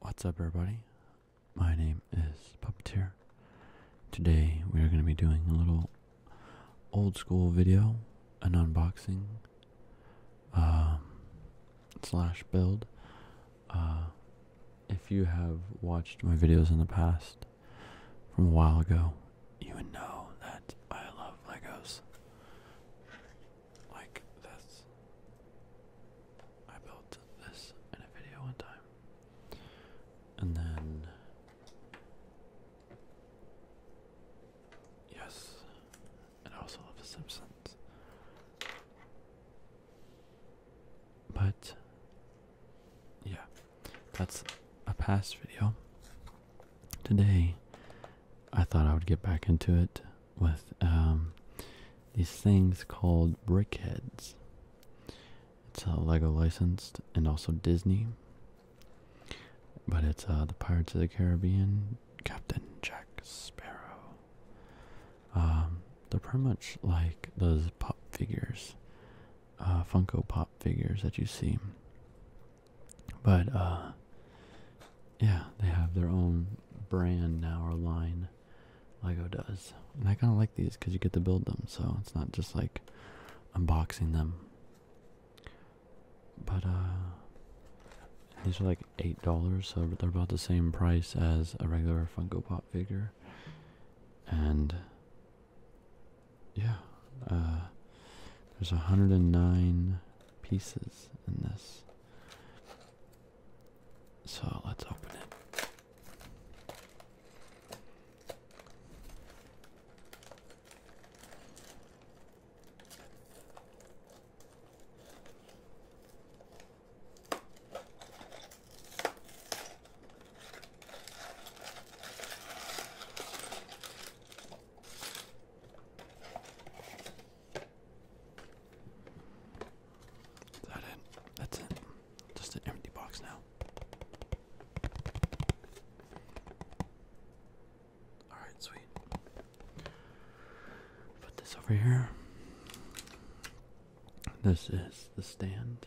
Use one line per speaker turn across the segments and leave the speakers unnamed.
What's up, everybody? My name is Puppeteer. Today we are going to be doing a little old school video, an unboxing um, slash build. Uh, if you have watched my videos in the past from a while ago, you would know that I love Legos. Like this. I built this in a video one time. And then. Yes. And I also love The Simpsons. But. Yeah that's a past video. Today, I thought I would get back into it with um, these things called Brickheads. It's a Lego licensed and also Disney, but it's uh, the Pirates of the Caribbean, Captain Jack Sparrow. Um, they're pretty much like those pop figures, uh, Funko Pop figures that you see. But uh, yeah, they have their own brand now or line Lego does. And I kind of like these cuz you get to build them, so it's not just like unboxing them. But uh, these are like $8, so they're about the same price as a regular Funko Pop figure. And yeah, uh, there's 109 pieces in this. So let's open it. Is it? That's it. Just an empty box now. Alright, sweet. Put this over here. This is the stand.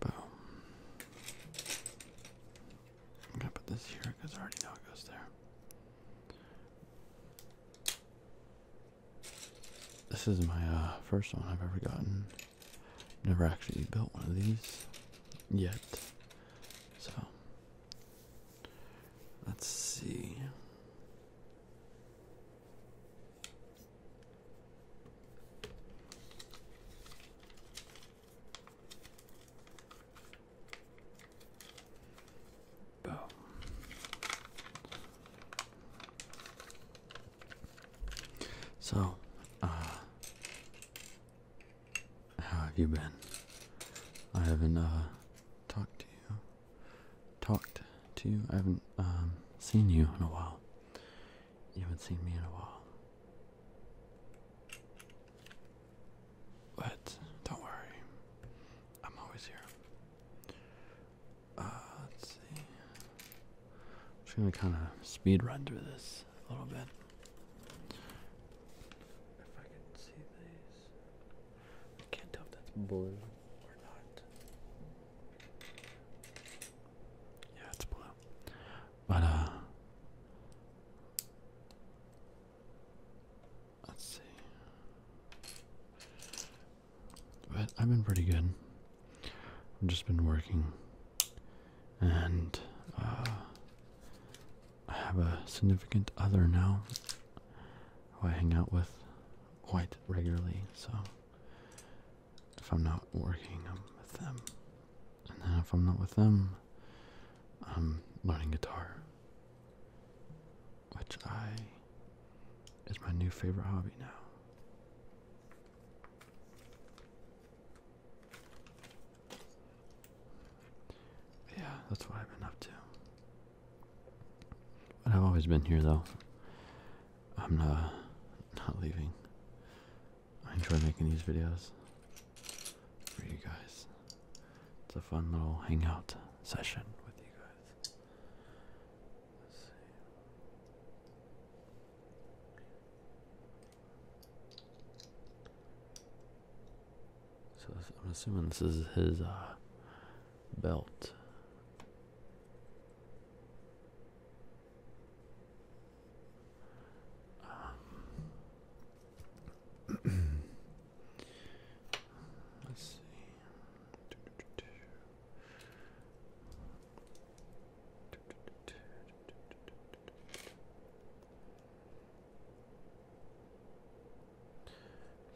Boom. I'm gonna put this here because I already know it goes there. This is my uh, first one I've ever gotten. Never actually built one of these yet. So, let's see. So, uh, how have you been? I haven't, uh, talked to you. Talked to you? I haven't, um, seen you in a while. You haven't seen me in a while. But don't worry, I'm always here. Uh, let's see. I'm just gonna kind of speed run through this a little bit. If I can see these, I can't tell if that's blue or not. Yeah, it's blue. But, uh. Let's see. But I've been pretty good. I've just been working. And, uh, I have a significant other now who I hang out with quite regularly, so if I'm not working, with them. And then if I'm not with them, I'm learning guitar. Which I is my new favorite hobby now. yeah, that's what I've been up to. But I've always been here though. I'm not, not leaving. I enjoy making these videos for you guys. It's a fun little hangout session with you guys. So I'm assuming this is his uh, belt. Um, let's see.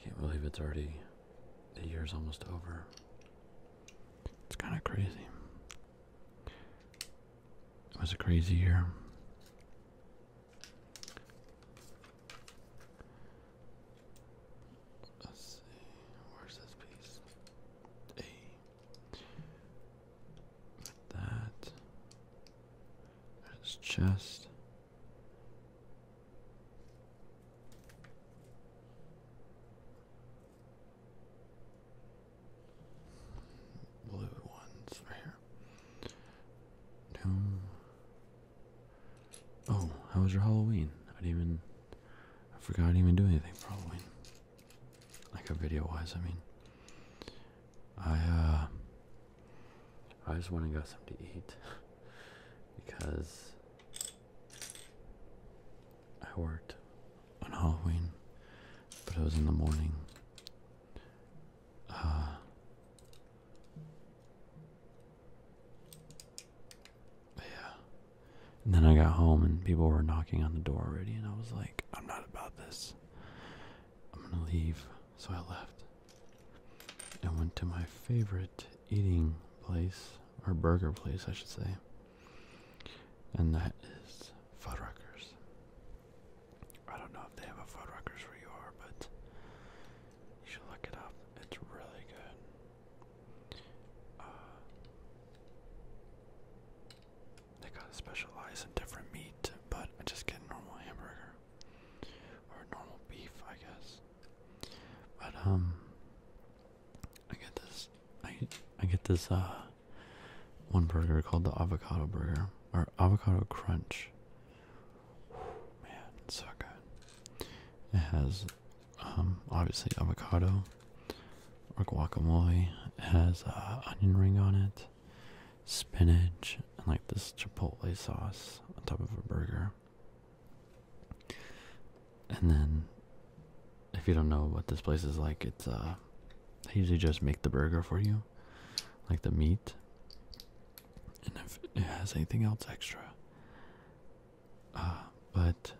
Can't believe it's already the year's almost over. It's kind of crazy. It was a crazy year. Let's see, where's this piece? A. that. There's his blue ones right here. No. Oh, how was your Halloween? I didn't even. I forgot I didn't even do anything for Halloween. Like a video wise, I mean. I, uh. I just went and got something to eat. because I worked on Halloween, but it was in the morning. Uh, yeah. And then I got home and people were knocking on the door already, and I was like, I'm not about this. I'm gonna leave. So I left and went to my favorite eating place, or burger place, I should say. And that is Fuddruckers. I don't know if they have a Fuddruckers where you are, but you should look it up. It's really good. Uh, they gotta specialize in different meat, but I just get normal hamburger. Or normal beef, I guess. But, um, hmm. I get this. I I get this uh one burger called the avocado burger or avocado crunch. Man, so good. It has um obviously avocado or guacamole. It has uh, onion ring on it, spinach, and like this chipotle sauce on top of a burger and then if you don't know what this place is like it's uh they usually just make the burger for you like the meat and if it has anything else extra uh but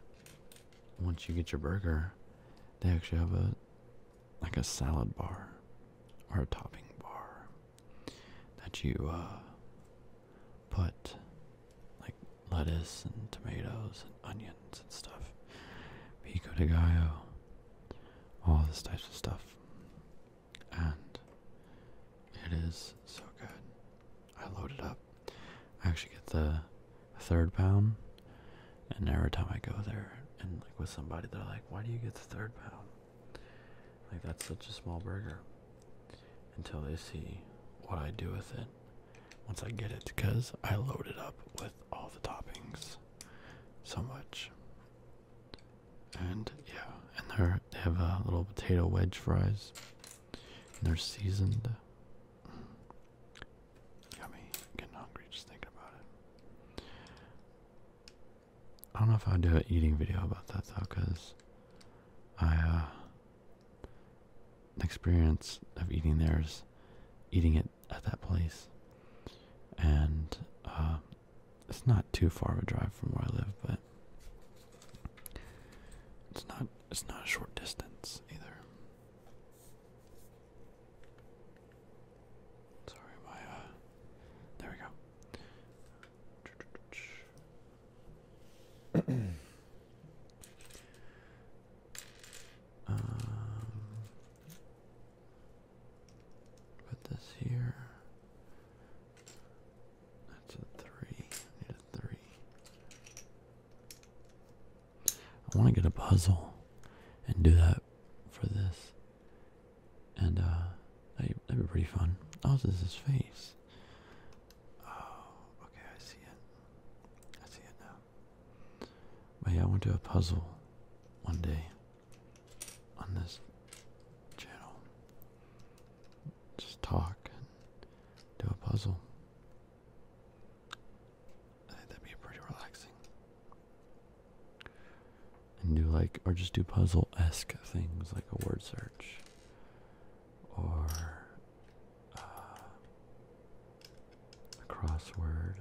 once you get your burger they actually have a like a salad bar or a topping bar that you uh put like lettuce and tomatoes and onions and stuff, pico de gallo, all this types of stuff, and it is so good. I load it up. I actually get the third pound, and every time I go there and like with somebody, they're like, "Why do you get the third pound?" Like that's such a small burger. Until they see what I do with it, once I get it because I load it up with all the toppings so much. And yeah, and they have a little potato wedge fries. And they're seasoned. Yummy. i getting hungry just thinking about it. I don't know if I'll do an eating video about that though, because I uh, the experience of eating theirs, eating it at that place. And uh, it's not too far of a drive from where I live, but it's not it's not a short distance either. Sorry, my uh, there we go. Um, put this here. That's a three. I need a three. I want to get a puzzle and do that for this. And, uh, that'd, be pretty fun. Oh, this is his face. Oh, okay, I see it. I see it now. But yeah, I want to do a puzzle one day on this channel. Just talk and do a puzzle. I think that'd be pretty relaxing. And do like, or just do puzzle esque things like a word search or uh, a crossword.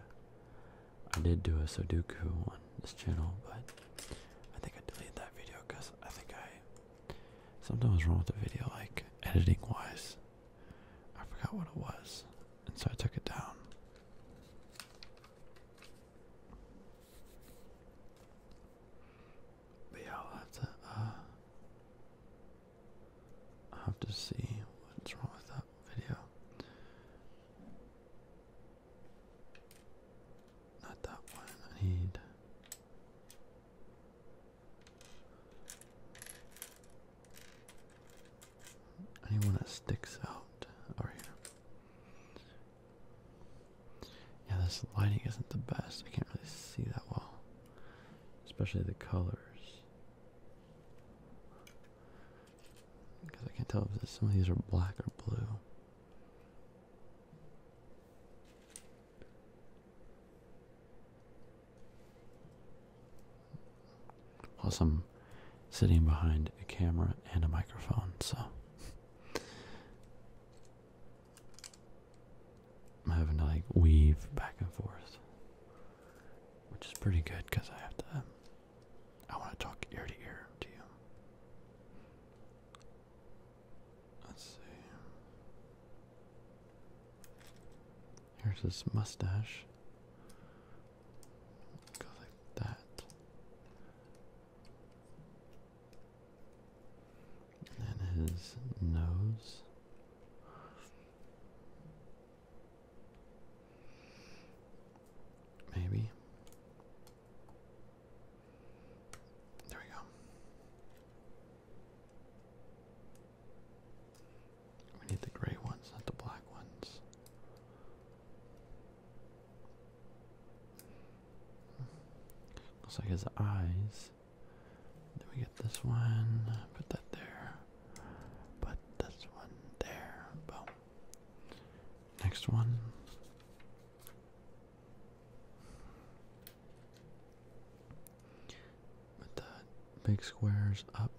I did do a Sudoku on this channel, but I think I deleted that video because I think I something was wrong with the video, like editing wise. I forgot what it was, and so I took it down. But yeah, I'll have to uh, I have to see what's wrong with that video. Not that one. I need. Anyone that sticks out over here. Yeah, this lighting isn't the best. I can't really see that well, especially the colors. Because I can't tell if some of these are black or blue. Plus, I'm sitting behind a camera and a microphone, so I'm having to like weave back and forth which is pretty good because I have to. I want to talk ear to ear to you. Let's see. Here's his mustache. Go like that. And his nose. Maybe. There we go. We need the gray ones, not the black ones. Looks like his eyes then we get this one, put that there, put this one there, boom. Next one. Put the big squares up.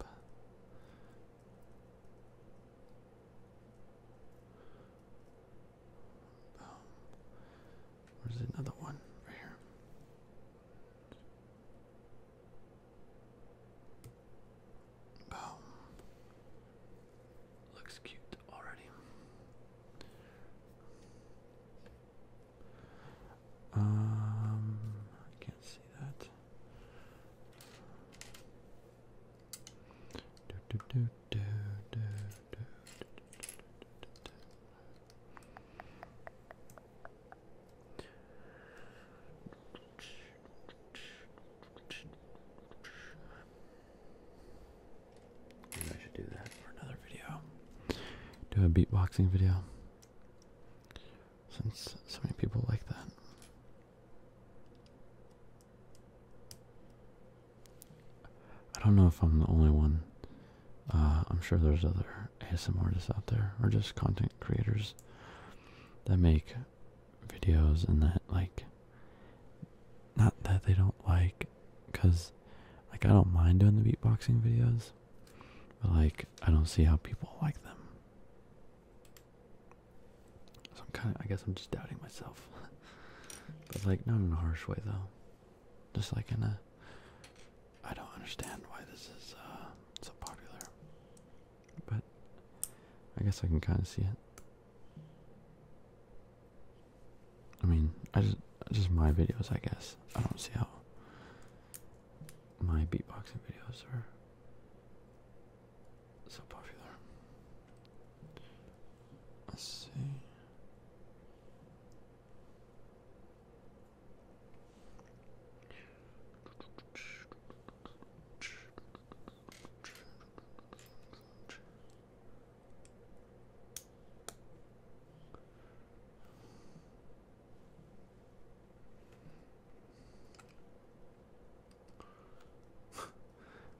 Boom. Where's another one? Right here. Boom. Looks cute already. Um, I can't see that. I should do that for another video. Do a beatboxing video. Since so many people like that. I don't know if I'm the only one. Uh, I'm sure there's other some artists out there, or just content creators that make videos and that like not that they don't like because like I don't mind doing the beatboxing videos but like I don't see how people like them so I'm kind of I guess I'm just doubting myself but like not in a harsh way though just like in a I don't understand why this is uh, so popular. But I guess I can kind of see it. I mean, I just just my videos, I guess. I don't see how my beatboxing videos are so popular. Let's see.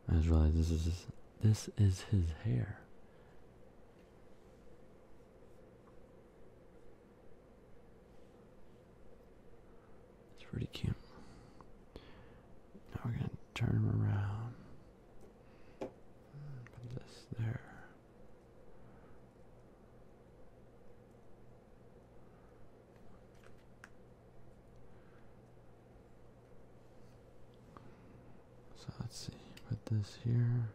I just realized this is his, this is his hair. It's pretty cute. Now we're gonna turn him around. Mm, put this there. So let's see, put this here.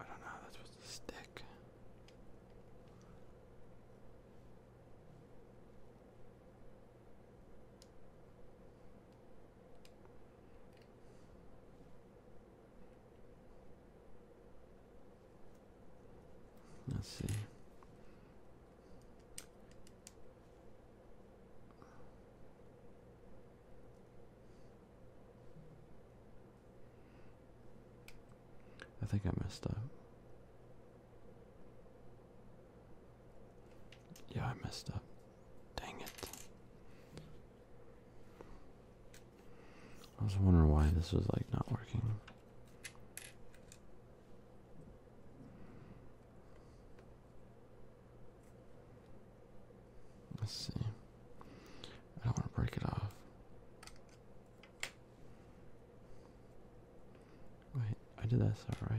I don't know that's supposed to stick. Let's see. I think I messed up. Yeah, I messed up. Dang it. I was wondering why this was like not working. Let's see. I don't want to break it off. Wait, I did that stuff right.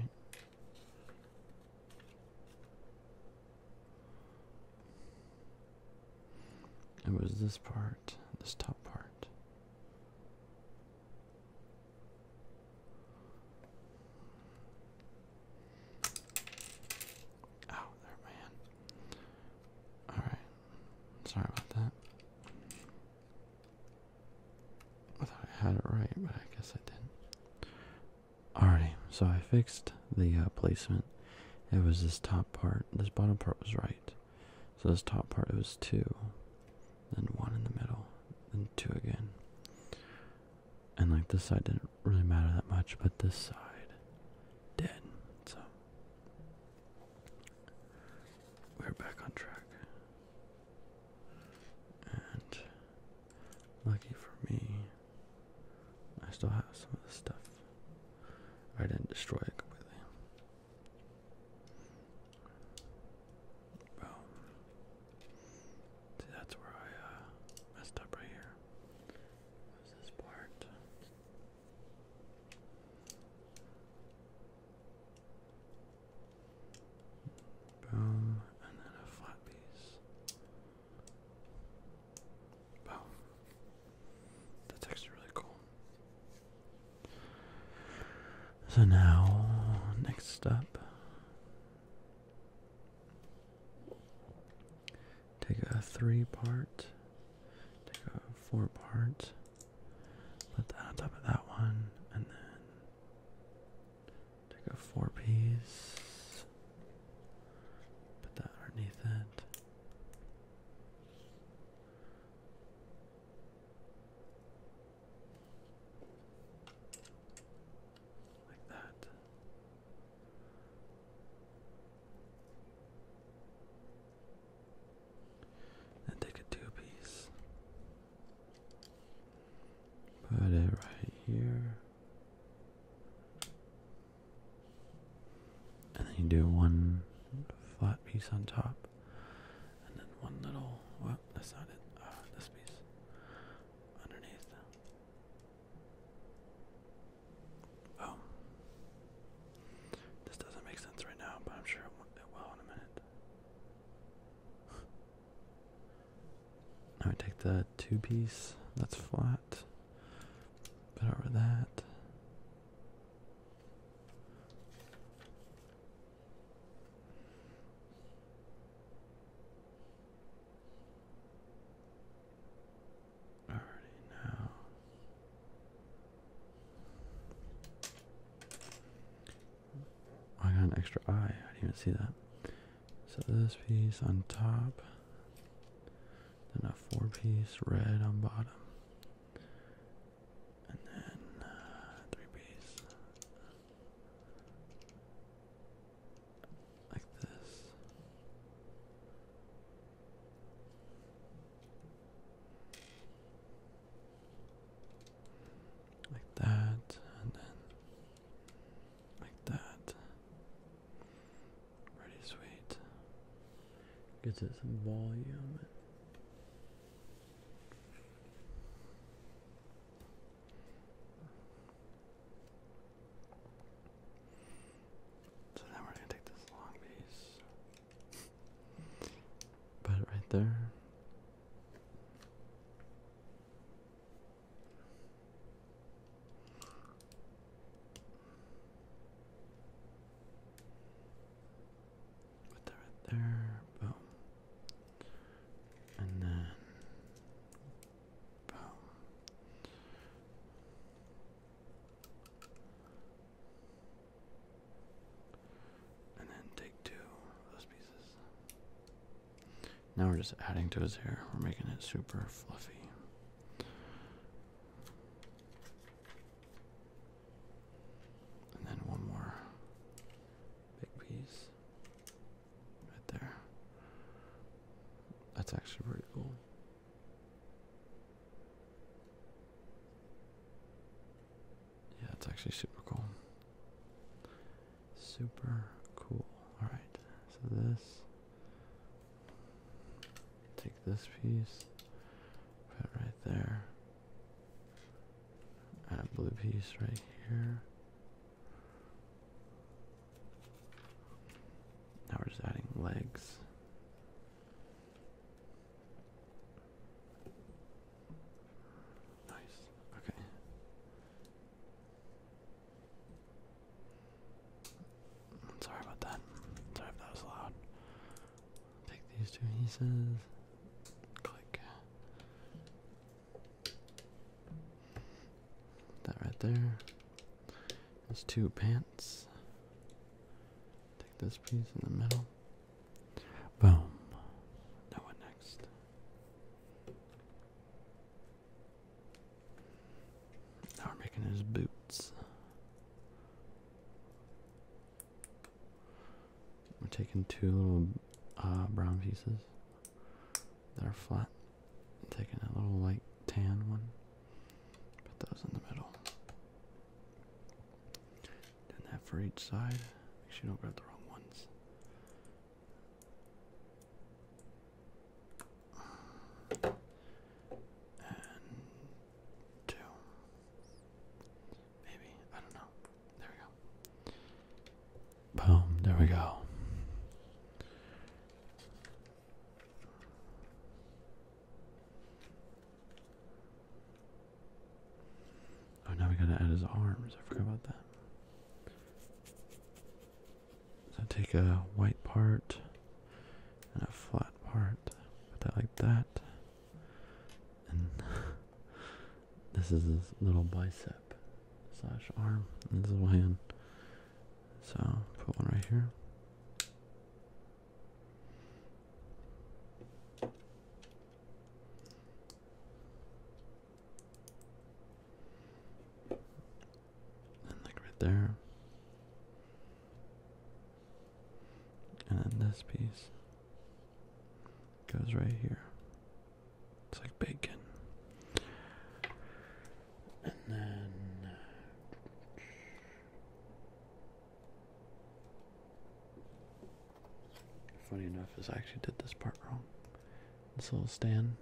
It was this part, this top part. Oh, there, man. Alright. Sorry about that. I thought I had it right, but I guess I didn't. Alrighty, so I fixed the uh, placement. It was this top part. This bottom part was right. So this top part, it was two. Then one in the middle. Then two again and like this side didn't really matter that much, but this side did. So we're back on track. And lucky for me, I still have some of the stuff. I didn't destroy it completely. See, that's where I uh, messed up right here. What is this part? Boom, and then a flat piece. Boom. That's actually really cool. So now, next up, Take a three part, take a four part, put that on top of that one, and then take a four piece, put that underneath it. Like that. And take a two piece. Put it right here. And then you do one flat piece on top. And then one little, well, that's not it, uh, this piece underneath. Oh. This doesn't make sense right now, but I'm sure it will in a minute. Now we take the two piece that's flat, put over that. I already know. I got an extra eye. I didn't even see that. So this piece on top, then a four piece red on bottom, and then uh, three piece like this. Like that, and then like that. Pretty sweet. Gives it some volume. So now we're gonna take this long piece. Put it right there. Put that right there, boom. And then um, and then take two of those pieces. Now we're just adding to his hair. We're making it super fluffy. And then one more big piece. Right there. That's actually pretty cool. Yeah, it's actually super cool. Super cool. Alright, so this. Take this piece, put right there. Add a blue piece right here. Now we're just adding legs. Nice. Okay. Sorry about that. Sorry if that was loud. Take these two pieces. Click. That right there. There's two pants. Take this piece in the middle. Boom. Now what next? Now we're making his boots. We're taking two little uh, brown pieces that are flat. i taking a little light tan one. Put those in the middle. Doing that for each side. Make sure you don't grab the wrong ones. And two. Maybe. I don't know. There we go. Boom, there we go. Oh, now we gotta add his arms. I forgot about that. So take a white part and a flat part, put that like that. And this is his little bicep slash arm. And this little hand. So put one right here. And like right there. And then this piece goes right here. It's like bacon. And then uh, funny enough is I actually did this part wrong. This little stand.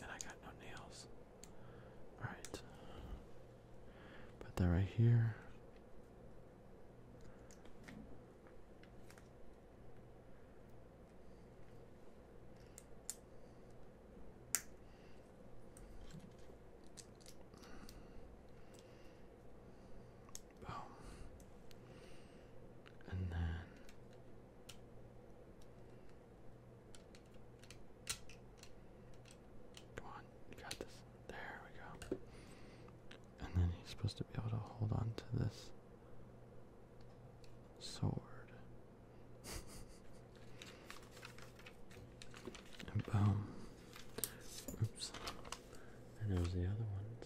And I got no nails. Alright. Put that right here. Boom. And then Come on, you got this. There we go. And then he's supposed to be able to hold on to this sword. and boom. Um, oops. There goes the other ones.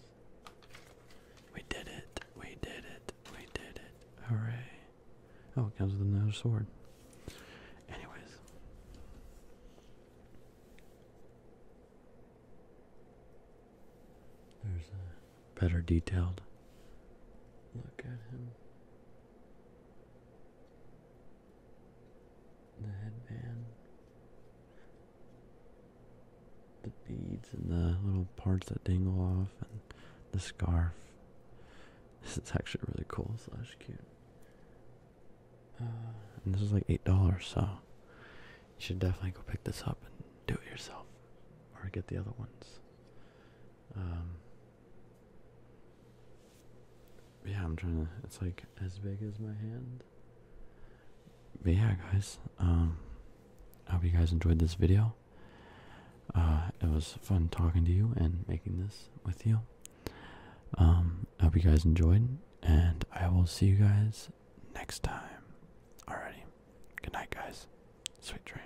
We did it. We did it. We did it. Hooray. Oh, it comes with another sword. Anyways. There's a better detailed look at him. The headband, the beads, and the little parts that dangle off, and the scarf. This is actually really cool slash cute. Uh, and this is like eight dollars, so you should definitely go pick this up and do it yourself, or get the other ones. Um, yeah, I'm trying to. It's like as big as my hand. But yeah, guys. Um, I hope you guys enjoyed this video. Uh, it was fun talking to you and making this with you. Um, I hope you guys enjoyed, and I will see you guys next time. Alrighty. Good night, guys. Sweet dreams.